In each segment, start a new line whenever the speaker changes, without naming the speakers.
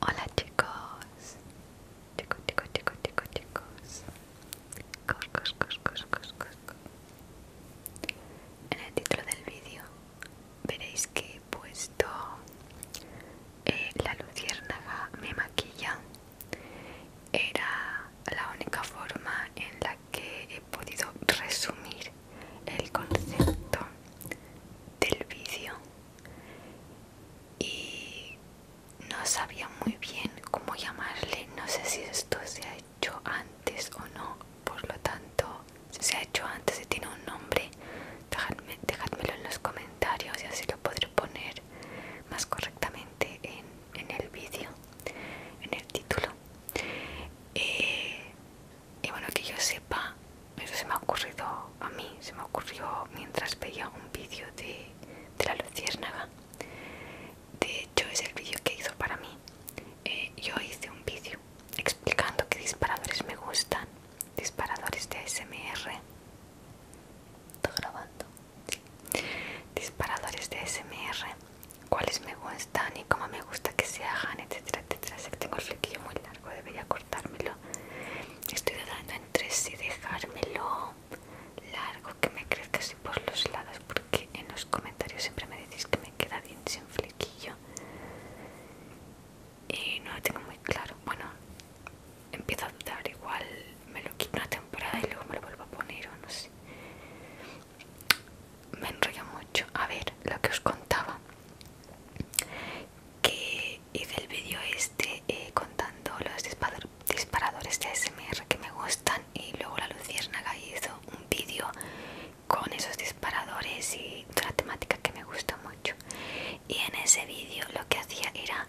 Hola chicos, chicos, chicos, chicos, chicos, chicos, chicos En el título del vídeo veréis que he puesto eh, la luciérnaga me maquilla. Era la única forma en la que he podido resumir el concepto del vídeo y no sabía muy bien cómo llamarle, no sé si esto se ha hecho antes o no, por lo tanto, si se ha hecho antes y tiene un nombre, dejadme, dejadmelo en los comentarios y así lo podré poner más correctamente en, el vídeo, en el título. Eh, y bueno que yo sepa eso se me ha ocurrido a mí se me ocurrió mientras veía un vídeo de, de la luciérnaga de hecho es el vídeo que hizo para mí eh, yo hice un vídeo explicando qué disparadores me gustan disparadores de ASMR está grabando disparadores de ASMR cuáles me gustan y cómo me gusta que se hagan etcétera etcétera sé que tengo el flequillo muy largo debería cortármelo estoy dudando entre si dejármelo largo que me crezca así por los lados porque en los comentarios siempre me decís que me queda bien sin flequillo y no lo tengo muy claro bueno empiezo a dudar igual me lo quito una temporada y luego me lo vuelvo a poner o no sé me enrolla mucho a ver lo que os contaba que hice el vídeo este eh, contando los disparadores de ASMR que me gustan y luego la Luciérnaga hizo un vídeo con esos disparadores y toda la temática que me gusta mucho y en ese vídeo lo que hacía era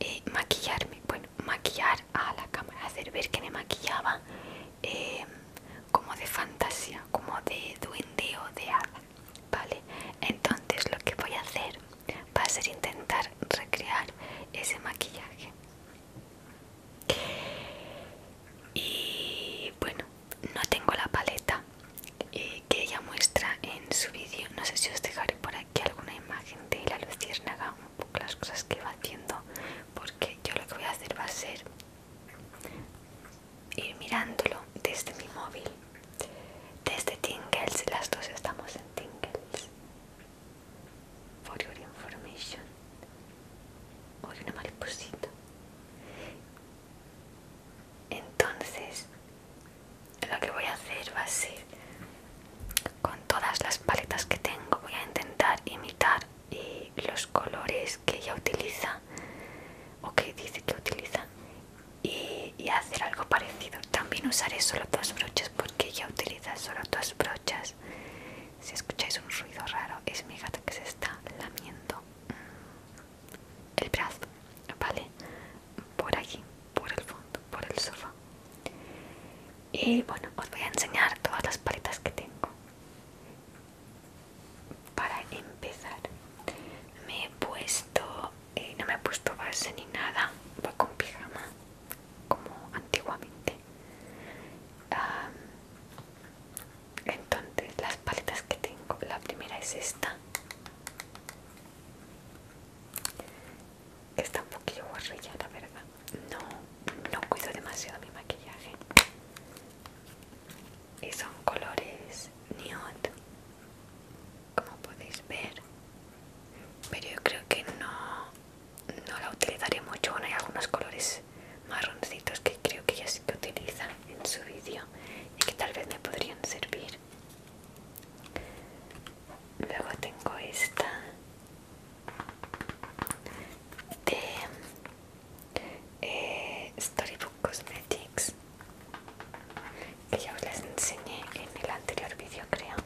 eh, maquillarme, bueno, maquillar a la cámara, hacer ver que me maquillaba eh, como de fantasía, como de duende o de hada Vale, entonces lo que voy a hacer va a ser intentar recrear ese maquillaje. Y bueno, no tengo la paleta eh, que ella muestra en su vídeo. No sé si os dejaré por aquí alguna imagen de la luciérnaga, un poco las cosas que va haciendo, porque yo lo que voy a hacer va a ser ir mirándolo desde mi móvil, desde Tingles, las dos estamos en Tingles. For your information. Hoy una mariposita. Entonces, lo que voy a hacer va a ser con todas las paletas que tengo, voy a intentar imitar eh, los colores que ella utiliza o que dice que utiliza y, hacer algo parecido también usaré solo dos brochas porque ella utiliza solo dos brochas si escucháis un ruido raro es mi gata que se está lamiendo mm, el brazo vale por aquí por el fondo por el sofá y bueno os voy a enseñar todas las paletas que tengo para empezar me he puesto eh, no me he puesto base ni nada voy con pijama como antiguamente entonces las paletas que tengo la primera es esta está un poquillo guarrillada la verdad no no cuido demasiado mi maquillaje y son colores nude como podéis ver pero yo creo que no no la utilizaré mucho bueno hay algunos colores marroncitos que creo que ella sí que utiliza en su vídeo y que tal vez me podrían servir luego tengo esta de eh, Storybook Cosmetics que ya os las enseñé en el anterior vídeo creo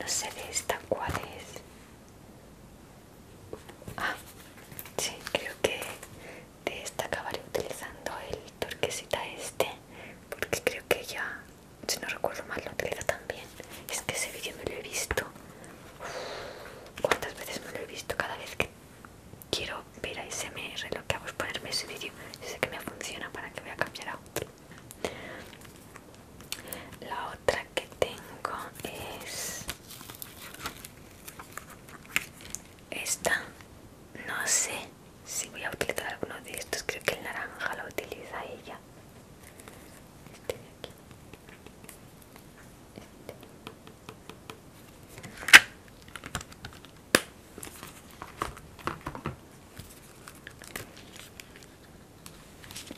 no sé de esta cuál es ah sí creo que de esta acabaré utilizando el turquesita este porque creo que ya si no recuerdo mal lo utiliza también es que ese vídeo me lo he visto cuántas veces me lo he visto cada vez que quiero ver a SMR lo que hago es ponerme ese vídeo sé que me funciona para que voy a cambiar a otro la otra que tengo es esta no sé si voy a utilizar alguno de estos creo que el naranja lo utiliza ella este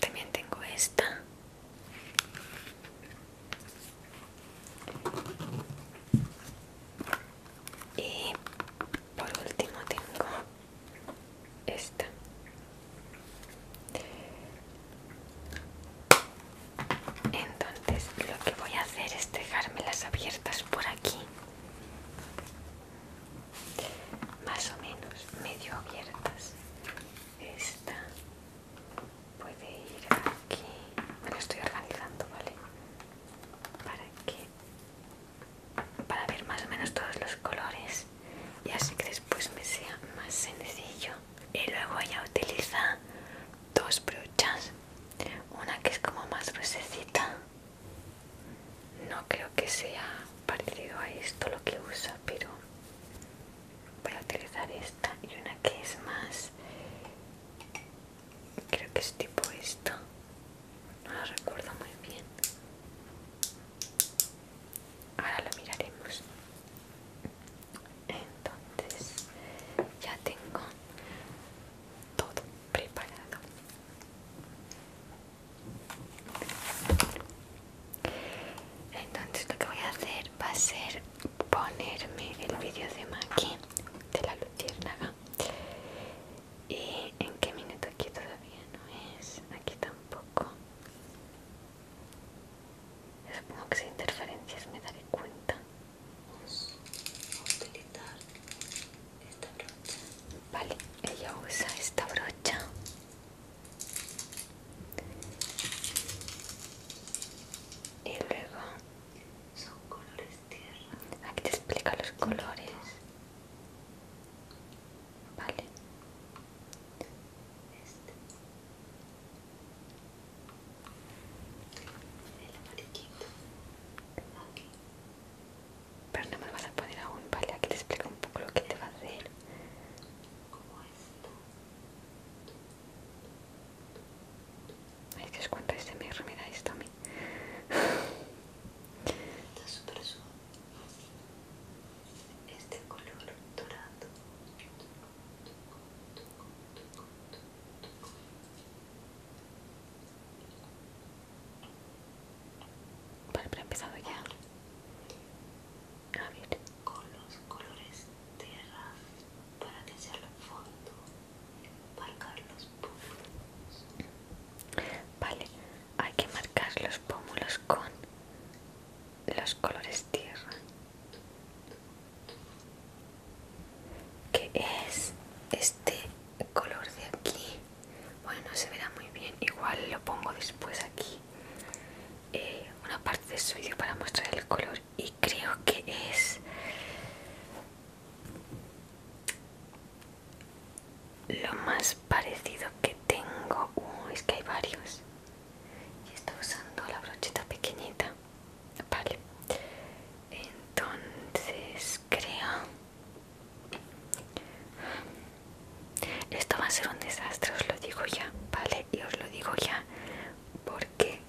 También tengo esta. Y por último tengo esta entonces lo que voy a hacer es dejármelas abiertas por aquí más o menos medio abiertas esta puede ir aquí me estoy organizando vale para que para ver más o menos todos los colores y así que después me sea más sencillo y luego ella utiliza dos brochas una que es como más rosecita no creo que sea parecido a esto lo que usa pero voy a utilizar esta y una que es más creo que es tipo esto no lo recuerdo muy bien ahora lo miraremos entonces ya tengo todo preparado entonces lo que voy a hacer va a ser ponerme el vídeo de maqui de la luciérnaga y en qué minuto aquí todavía no es aquí tampoco Supongo que sin interferencias me daré cuenta. Vamos a utilizar esta brocha. Vale, ella usa esta brocha. Y luego son colores tierra. Aquí te explica los colores. Vale. Este. El Pero no me lo vas a poner aún, vale, aquí le explico un poco lo que te va a hacer. Como esto. Ay, que os cuento este me mira esto a mí. Está súper suave este color dorado Vale, empezar he empezado ya a ver con los colores tierra para que sea el fondo bailar los puntos vale hay que marcar los pómulos con los colores tierra que es este color de aquí bueno no se verá muy bien igual lo pongo después aquí eh, una parte de su vídeo para mostrar el color y creo que es lo más parecido que tengo es que hay varios y está usando la brochita pequeñita vale entonces creo esto va a ser un desastre os lo digo ya vale y os lo digo ya porque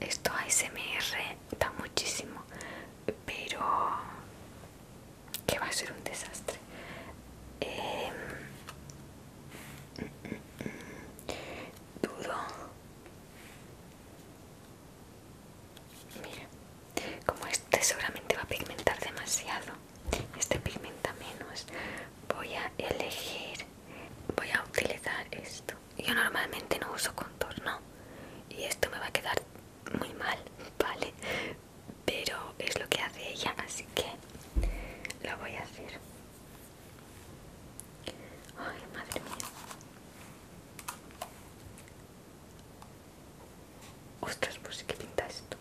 esto ASMR da muchísimo pero que va a ser un desastre. Em, dudo. Mira, como este seguramente va a pigmentar demasiado, este pigmenta menos. Voy a elegir, voy a utilizar esto. Yo normalmente no uso contorno y esto me va a quedar muy mal, ¿vale? pero es lo que hace ella, así que lo voy a hacer. Ay, madre mía. Ostras, pues que pinta esto.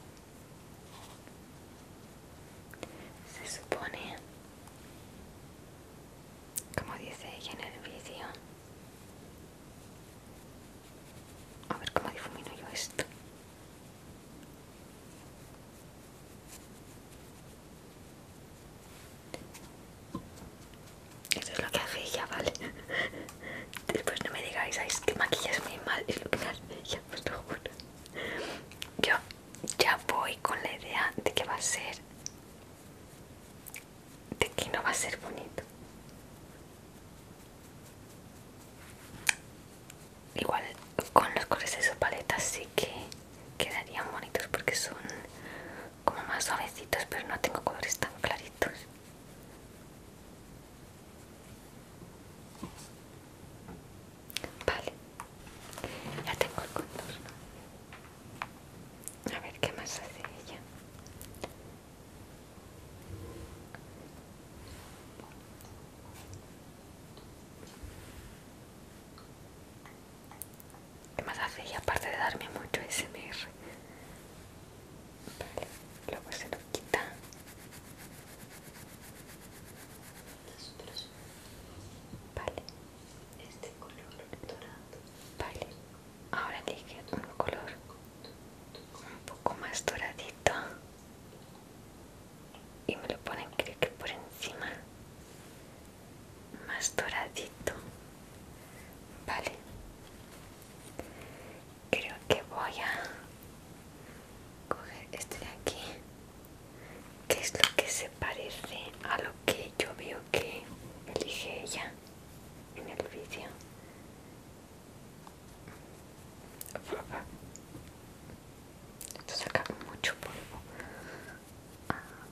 Se supone, como dice ella en el vídeo, a ver cómo difumino yo esto. Eso es lo que hace ella, ¿vale? Después no me digáis, ¿sabéis que maquillas muy mal? Es lo que hace ella, os lo juro. Yo ya voy con la idea de que va a ser... de que no va a ser bonito. Igual con los colores de su paleta sí que quedarían bonitos porque son como más suavecitos, pero no tengo colores tan claritos. Vale, ya tengo el contorno. A ver qué más hace ella. ¿Qué más haces? y aparte de darme mucho SMR vale, luego se lo quita vale este color dorado vale ahora elige un color un poco más doradito y me lo ponen creo que por encima más doradito vale creo que voy a coger este de aquí que es lo que se parece a lo que yo veo que elige ella en el vídeo esto saca mucho polvo. tengo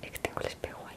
les Extengo el espejo ahí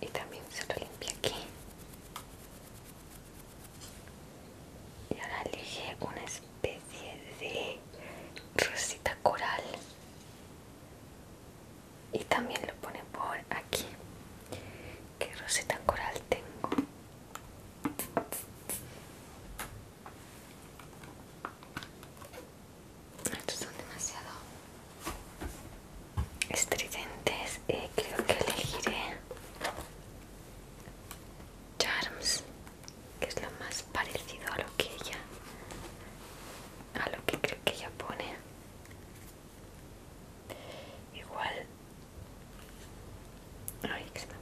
Y también se lo limpia aquí y ahora elegí una especie de rosita coral y también lo pone por aquí qué rosita coral tengo estos son demasiado estridentes eh, creo que elegiré Charms, que es lo más parecido a lo que ella, a lo que creo que ella pone. Igual, ay, que se me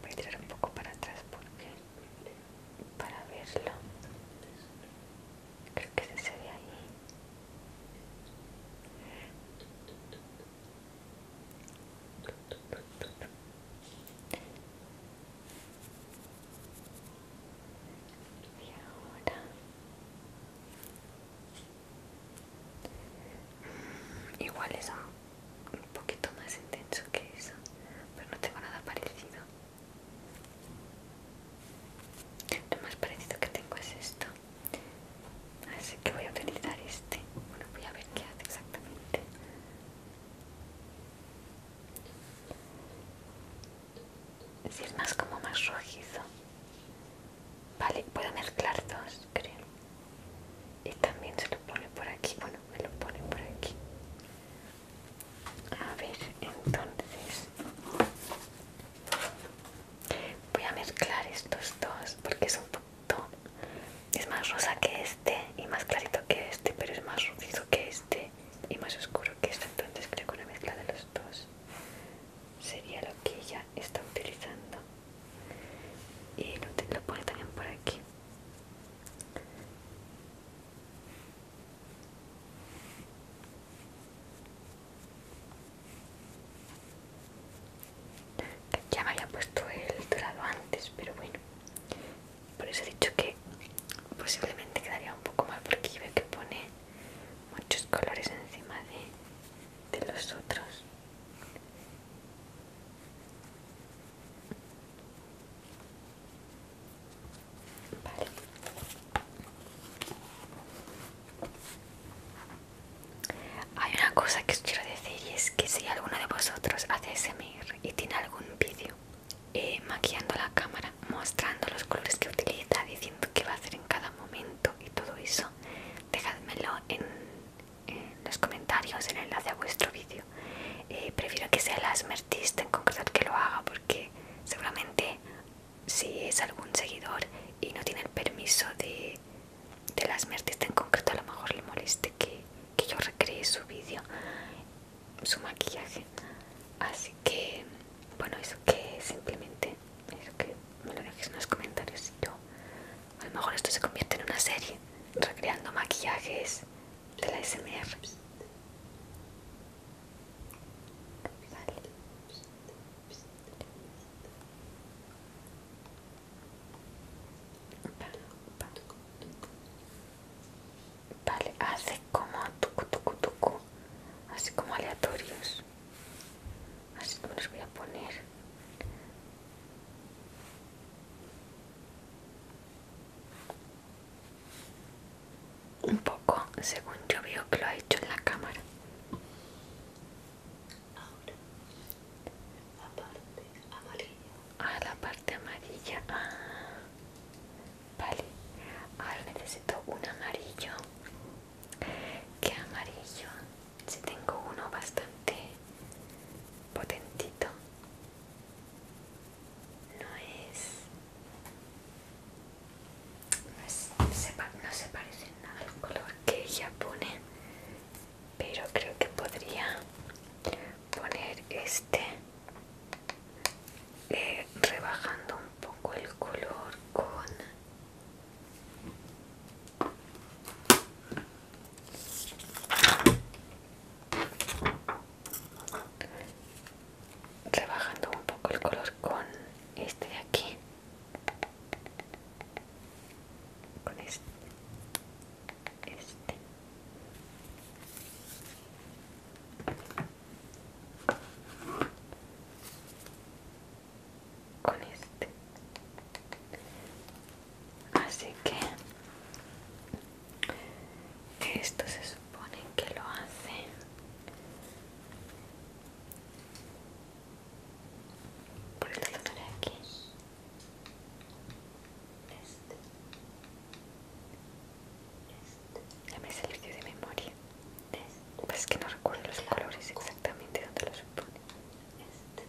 Voy a tirar un poco para atrás porque para verlo. Creo que se ve ahí. Y ahora mm, igual es un poquito más intenso que eso pero no tengo nada parecido lo más parecido que tengo es esto así que voy a utilizar este bueno voy a ver qué hace exactamente si es más como más rojizo vale puedo mezclar dos creo y también se lo pone por aquí bueno me lo pone por aquí a ver entonces voy a mezclar estos dos porque es un poquito es más rosa que este y más clarito que este pero es más rubizo que este y más oscuro que este entonces creo que una mezcla de los dos sería lo que ella está utilizando y lo pone también por aquí ya me había puesto el dorado antes, pero bueno. Por eso he dicho que posiblemente quedaría un poco mal porque yo veo que pone muchos colores encima de, de los otros. Vale. Hay una cosa que os quiero decir y es que si alguno de vosotros hace SMR y tiene algún vídeo eh, maquillando la cámara, mostrando los colores que utiliza, diciendo qué va a hacer en cada momento y todo eso, dejadmelo en, los comentarios, en el enlace a vuestro vídeo. Eh, prefiero que sea el asmertista en concreto que lo haga porque seguramente si es algún seguidor y no tiene el permiso de de las artista en concreto a lo mejor le moleste que, yo recree su vídeo, su maquillaje. Así que, bueno, eso que simplemente, que me lo dejes en los comentarios y yo. A lo mejor esto se convierte en una serie, recreando maquillajes de la SMR. Vale, hace como tucu tucu tucu, así como aleatorios. Así que los voy a poner. Un poco, según yo veo que lo ha hecho en la cámara ahora la parte amarilla ah la parte amarilla ah vale ahora necesito un amarillo qué amarillo si tengo uno bastante potentito no es no, se, no se parece nada al color que ella pone pero creo que podría poner este eh, rebajando un poco el color con rebajando un poco el color con este de aquí con este este con este así que esto se supone que lo hacen por el de aquí este este ya me salió de memoria este. pues es que no recuerdo los colores exactamente donde los pone este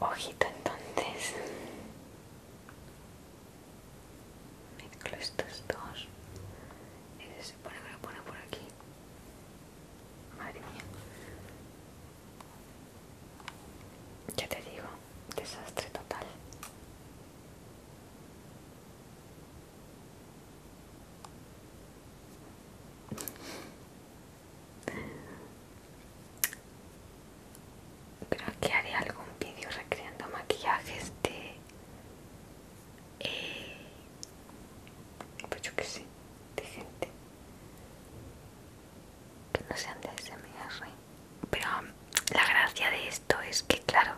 vale ojito entonces mezclo estos dos y este se pone lo pone por aquí madre mía ya te digo desastre total creo que haré algún vídeo recreando maquillajes de eh, pues yo que sé de gente que no sean de SMR pero um, la gracia de esto es que claro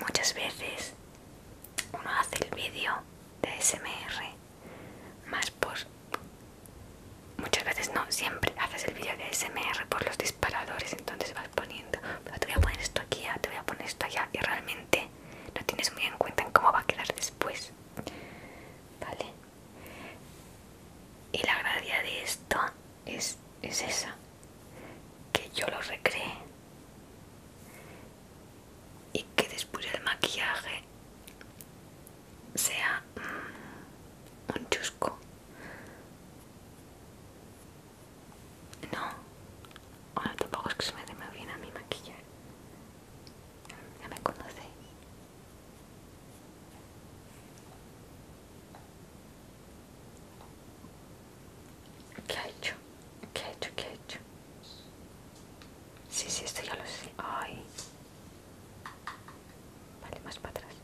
muchas veces uno hace el vídeo de SMR más por muchas veces no siempre haces el vídeo de SMR por los entonces vas poniendo, pero te voy a poner esto aquí, ah, te voy a poner esto allá y realmente no tienes muy en cuenta en cómo va a quedar después, ¿vale? Y la gracia de esto es, es esa, que yo lo recreé y que después el maquillaje sea mm, un chusco no, ahora tampoco es que se me dé bien a mi maquillar. Ya me conoce ¿Qué ha hecho? ¿Qué ha hecho? ¿Qué ha hecho? Sí, sí, esto ya lo sé. Ay. Vale, más para atrás.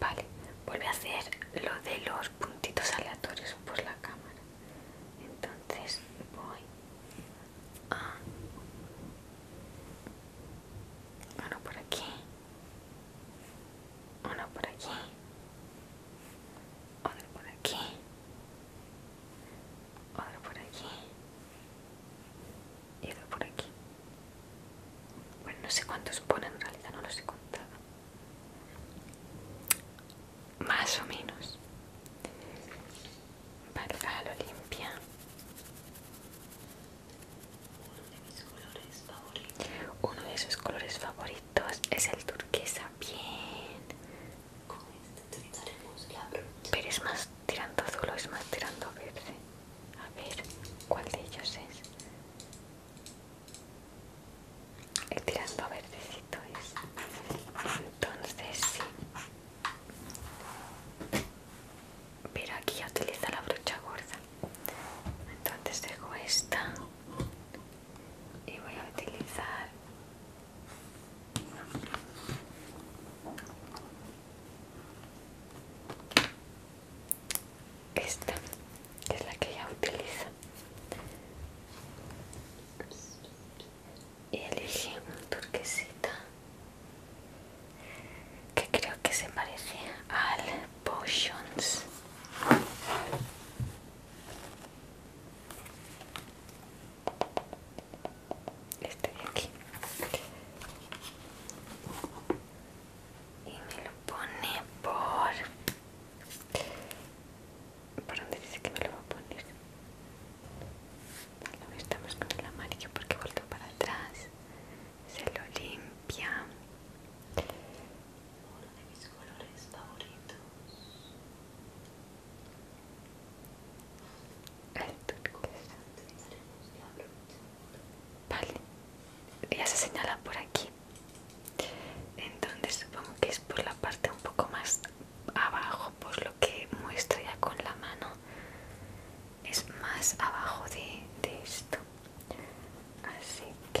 Vale, vuelve a hacer lo de los puntitos aleatorios por la cámara. Entonces voy a... Uno por aquí. Uno por aquí. Otro por aquí. Otro por aquí. Y otro por aquí. Bueno, no sé cuántos pone en realidad, no los he contado. Más o menos. Vale, a lo limpia. Uno de mis colores favoritos. Uno de sus colores favoritos es el turquesa. Bien. la Pero es más tirando azul o es más tirando verde. A ver, ¿cuál de ellos es? Estirando a verdecito es entonces sí pero aquí ya utiliza la brocha gorda entonces dejo esta y voy a utilizar esta que es la que ella utiliza y elegí un turquesita que creo que se parece al Potions este de aquí y me lo pone por... ¿Por dónde dice que me lo va a poner? Bueno, estamos con el amarillo porque vuelto para atrás. Se lo limpia. Uno de mis colores favoritos. El turco Vale. Ya se señala por aquí entonces supongo que es por la parte un poco más abajo por lo que muestro ya con la mano es más abajo de, de esto así que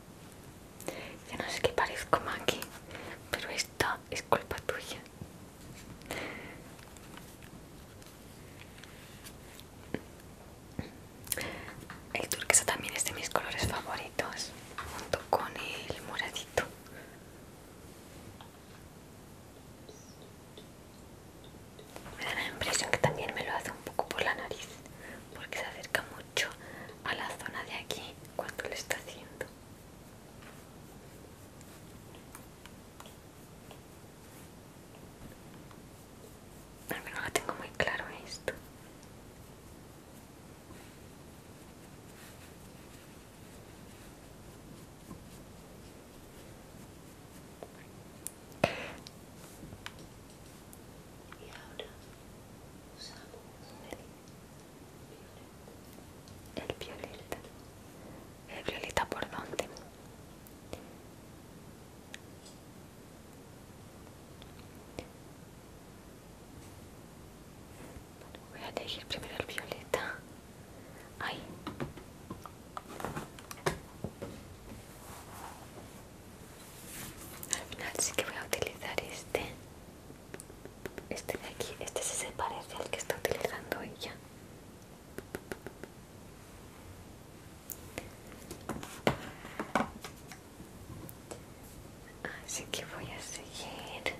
Yo no sé qué parezco aquí, pero esto es culpa tuya. El turquesa también es de mis colores favoritos, junto con el moradito. Me da la impresión que también me lo hace un poco por la nariz, porque se acerca mucho a la zona de aquí cuando lo está haciendo. A mí no tengo muy claro esto. Y ahora usamos el violeta. ¿El violeta por donde voy a elegir primero el violeta. Ahí. Al final sí que voy a utilizar este. Este de aquí, este se parece al que está utilizando ella. Así que voy a seguir.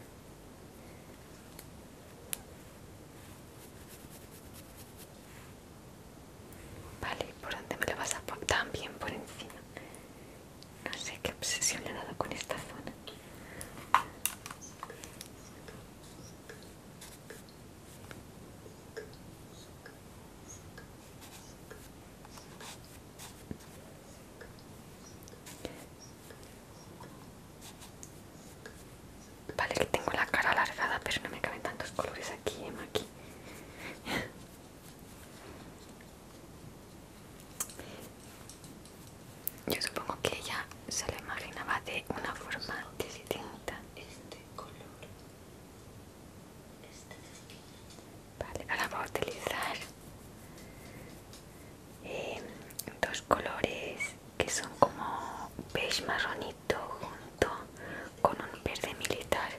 Vale, ¿por dónde me lo vas a poner? También por encima. No sé qué obsesión le he dado con esta zona. Vale, que tengo la cara alargada, pero no me caben tantos colores aquí, Emma, aquí. Yo supongo que ella se lo imaginaba de una forma distinta. Este color. Este vale, ahora voy a utilizar eh, dos colores que son como beige marronito junto con un verde militar.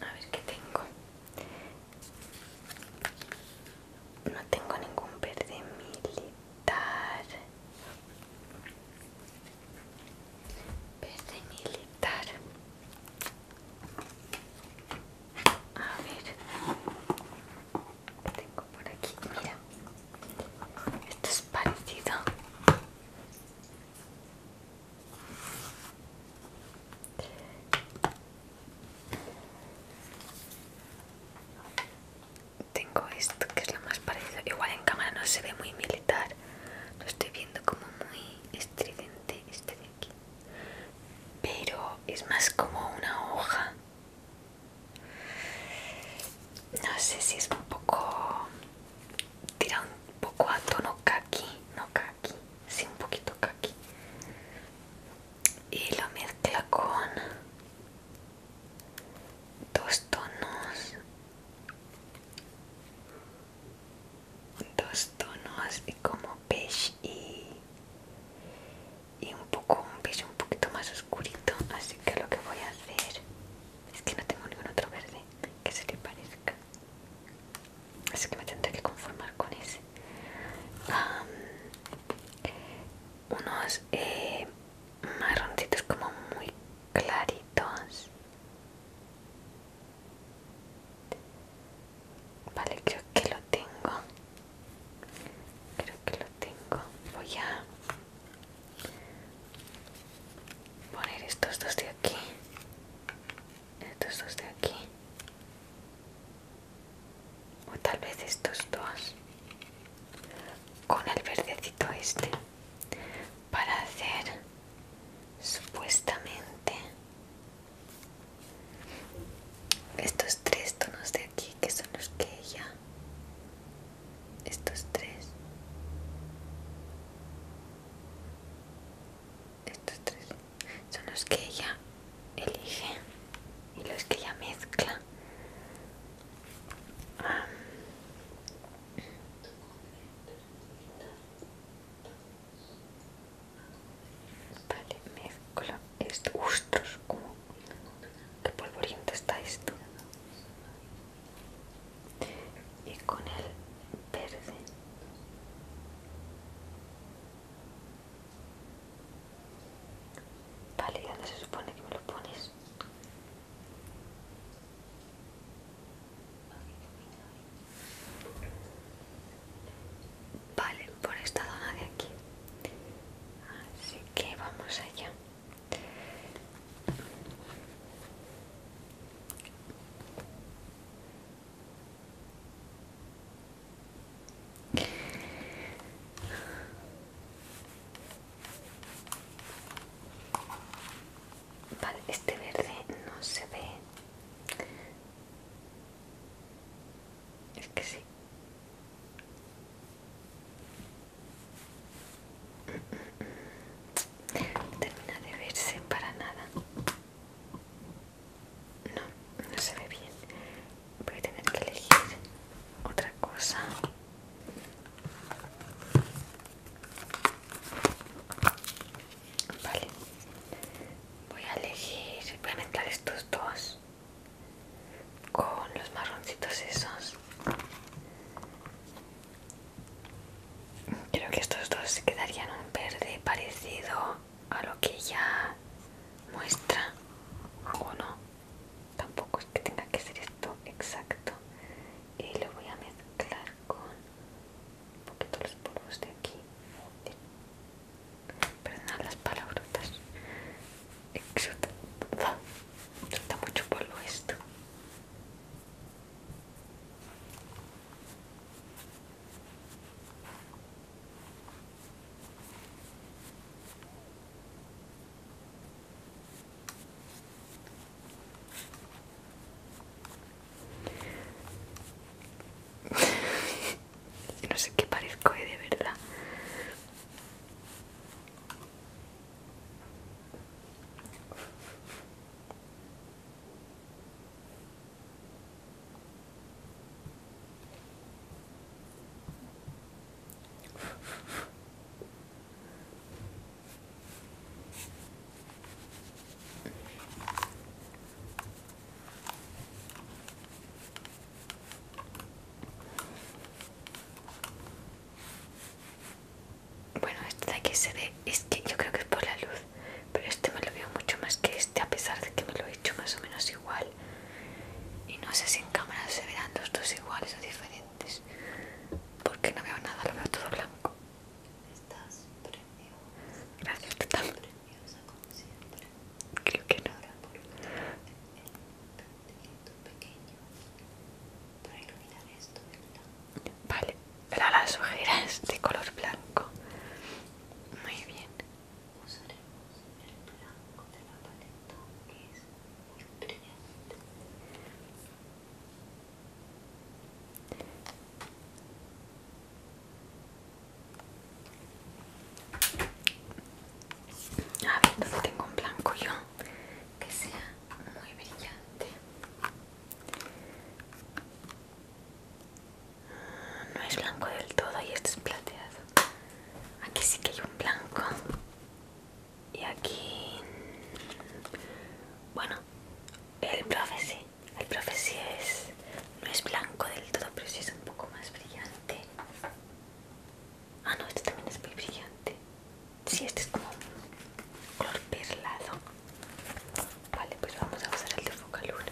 A ver qué tengo. No tengo ningún verde militar. Verde militar. A ver. Tengo por aquí. Mira. Esto es parecido. Tengo esto que es lo más parecido. Igual en cámara no se ve muy militar. Lo estoy viendo como muy estridente este de aquí. Pero es más como una hoja. No sé si es un poco... Tira un poco a tono kaki. No kaki así un poquito kaki y lo mezcla con dos tonos dos tonos así como beige y, y un poco un beige un poquito más oscurito así que lo que voy a hacer es que no tengo ningún otro verde que se le parezca Así que me tendré que conformar con ese. unos eh, marroncitos como muy claritos. Vale, creo que lo tengo. Creo que lo tengo. Voy a poner estos dos de aquí estos dos de aquí o tal vez estos dos con el verdecito este para hacer supuestamente estos tres tonos de aquí que son los que ella estos tres estos tres son los que ella elige y los que ella mezcla. Vale, mezcla estos. que como qué polvoriento está esto. Y con el verde. Vale, dónde se supone que me lo pones? Vale, por esta zona de aquí. Así que vamos allá. Vale, este verde no se ve. Es que sí. Termina de verse para nada. No, no se ve bien. Voy a tener que elegir otra cosa. Vale. Voy a elegir, voy a mezclar estos dos con los marroncitos esos. Creo que estos dos se quedarían un verde parecido a lo que ya muestra o no tampoco es que tenga que ser esto exacto y lo voy a mezclar con un poquito los polvos de aquí perdonad las palabrotas exulta mucho polvo esto no sé qué parezco de verdad bueno, este de aquí se ve, es que yo creo que es por la luz, pero este me lo veo mucho más que este, a pesar de que me lo he hecho más o menos igual. Y no sé si en cámara se verán los dos iguales o diferentes. Porque no veo nada, lo veo todo blanco. Estás preciosa. Gracias, tú también. como siempre. Creo que no. Ahora el pequeño para iluminar esto, del lado. Vale, pero las ojeras de color blanco. Muy bien usaremos el blanco de la paleta que es muy brillante a ver, tengo un blanco yo? que sea muy brillante no es blanco del todo y este es plateado. Aquí sí que hay un blanco. Y aquí... Bueno, el profe El profe es... No es blanco del todo, pero sí es un poco más brillante. Ah, no, este también es muy brillante. Sí, este es como un color perlado. Vale, pues vamos a usar el de Focalur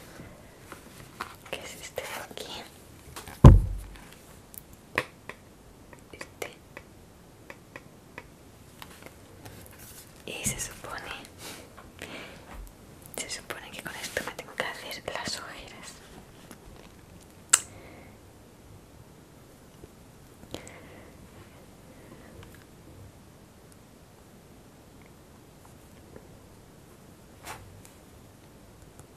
que es este aquí este y se supone se supone que con esto me tengo que hacer las ojeras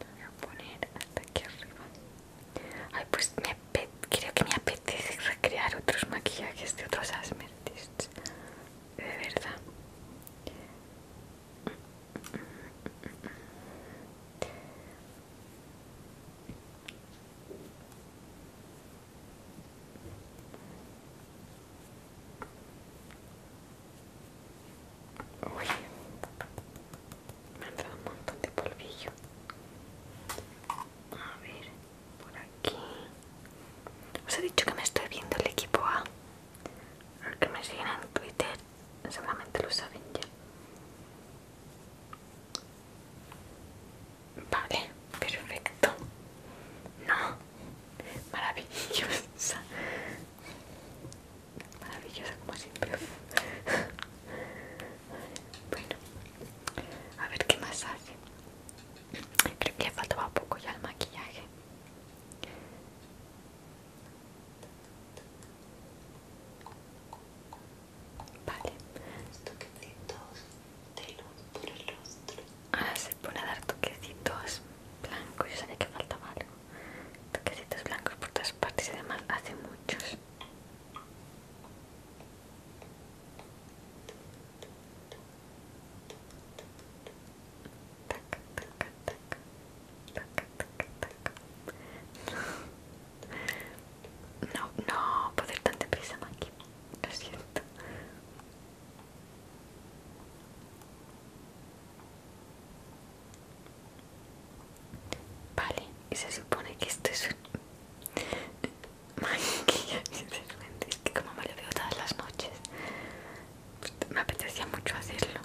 voy a poner hasta aquí arriba. Ay, pues me creo que me apetece recrear otros maquillajes de otros asmertists. De verdad. Uy, me ha entrado un montón de polvillo. A ver, por aquí. Os he dicho que me estoy viendo el equipo A. Los que me siguen en Twitter seguramente lo saben ya. Vale, perfecto. No, maravillosa maravillosa como siempre bueno a ver qué más hace creo que faltaba poco ya el maquillaje vale toquecitos de luz por el rostro ah, se pone a dar toquecitos blancos yo sabía que faltaba algo toquecitos blancos por todas partes y además hace muchos no, No, no poder ir tan deprisa, Maki. Lo siento. Vale, y se supone que esto es un que Es que como me lo veo todas las noches, me apetecía mucho hacerlo.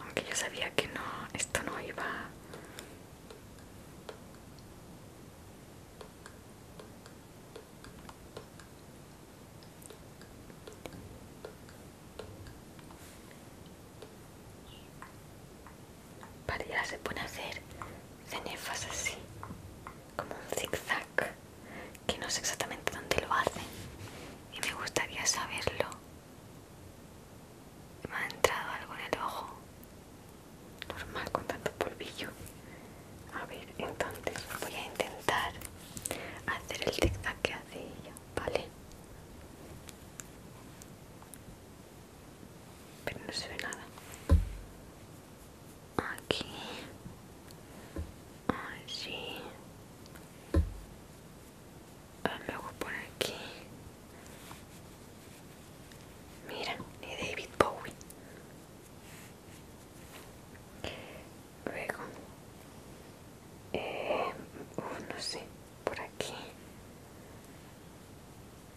Aunque yo sabía que no, esto no iba ella se pone a hacer cenefas así, como un zigzag, que no sé exactamente dónde lo hacen y me gustaría saberlo. Me ha entrado algo en el ojo, normal con tanto polvillo. A ver, entonces voy a intentar hacer el zigzag que hace ella, ¿vale? pero no se ve nada aquí allí ah, luego por aquí mira ni David Bowie luego eh, uh, no sé por aquí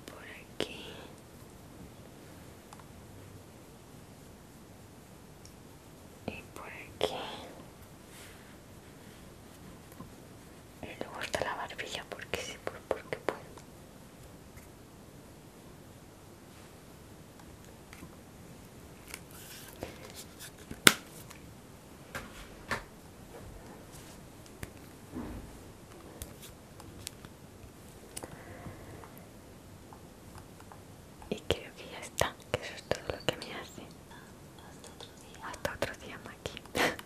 por aquí y por aquí y luego está la barbilla porque sí por porque puedo y creo que ya está, que eso es todo lo que me hace. Hasta otro día maquillaje.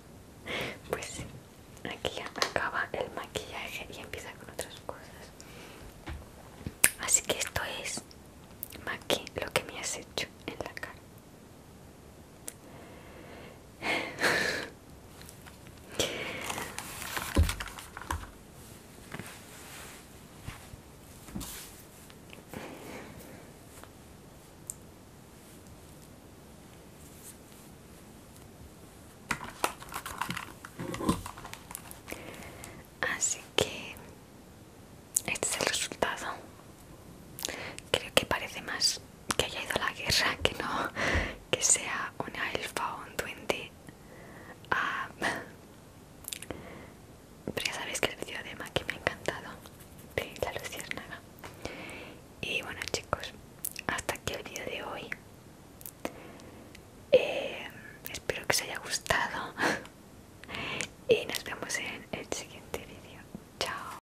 Pues aquí ya acaba el maquillaje y empieza con otras cosas. Así que esto es, Maki, lo que me has hecho en la cara. Así que este es el resultado. Creo que parece más que haya ido a la guerra que no que sea una elfa o un duende. Ah, pero ya sabéis que el vídeo de Maki me ha encantado, de la luciérnaga. Y bueno chicos, hasta aquí el vídeo de hoy. Eh, espero que os haya gustado y nos vemos en el siguiente vídeo. Chao.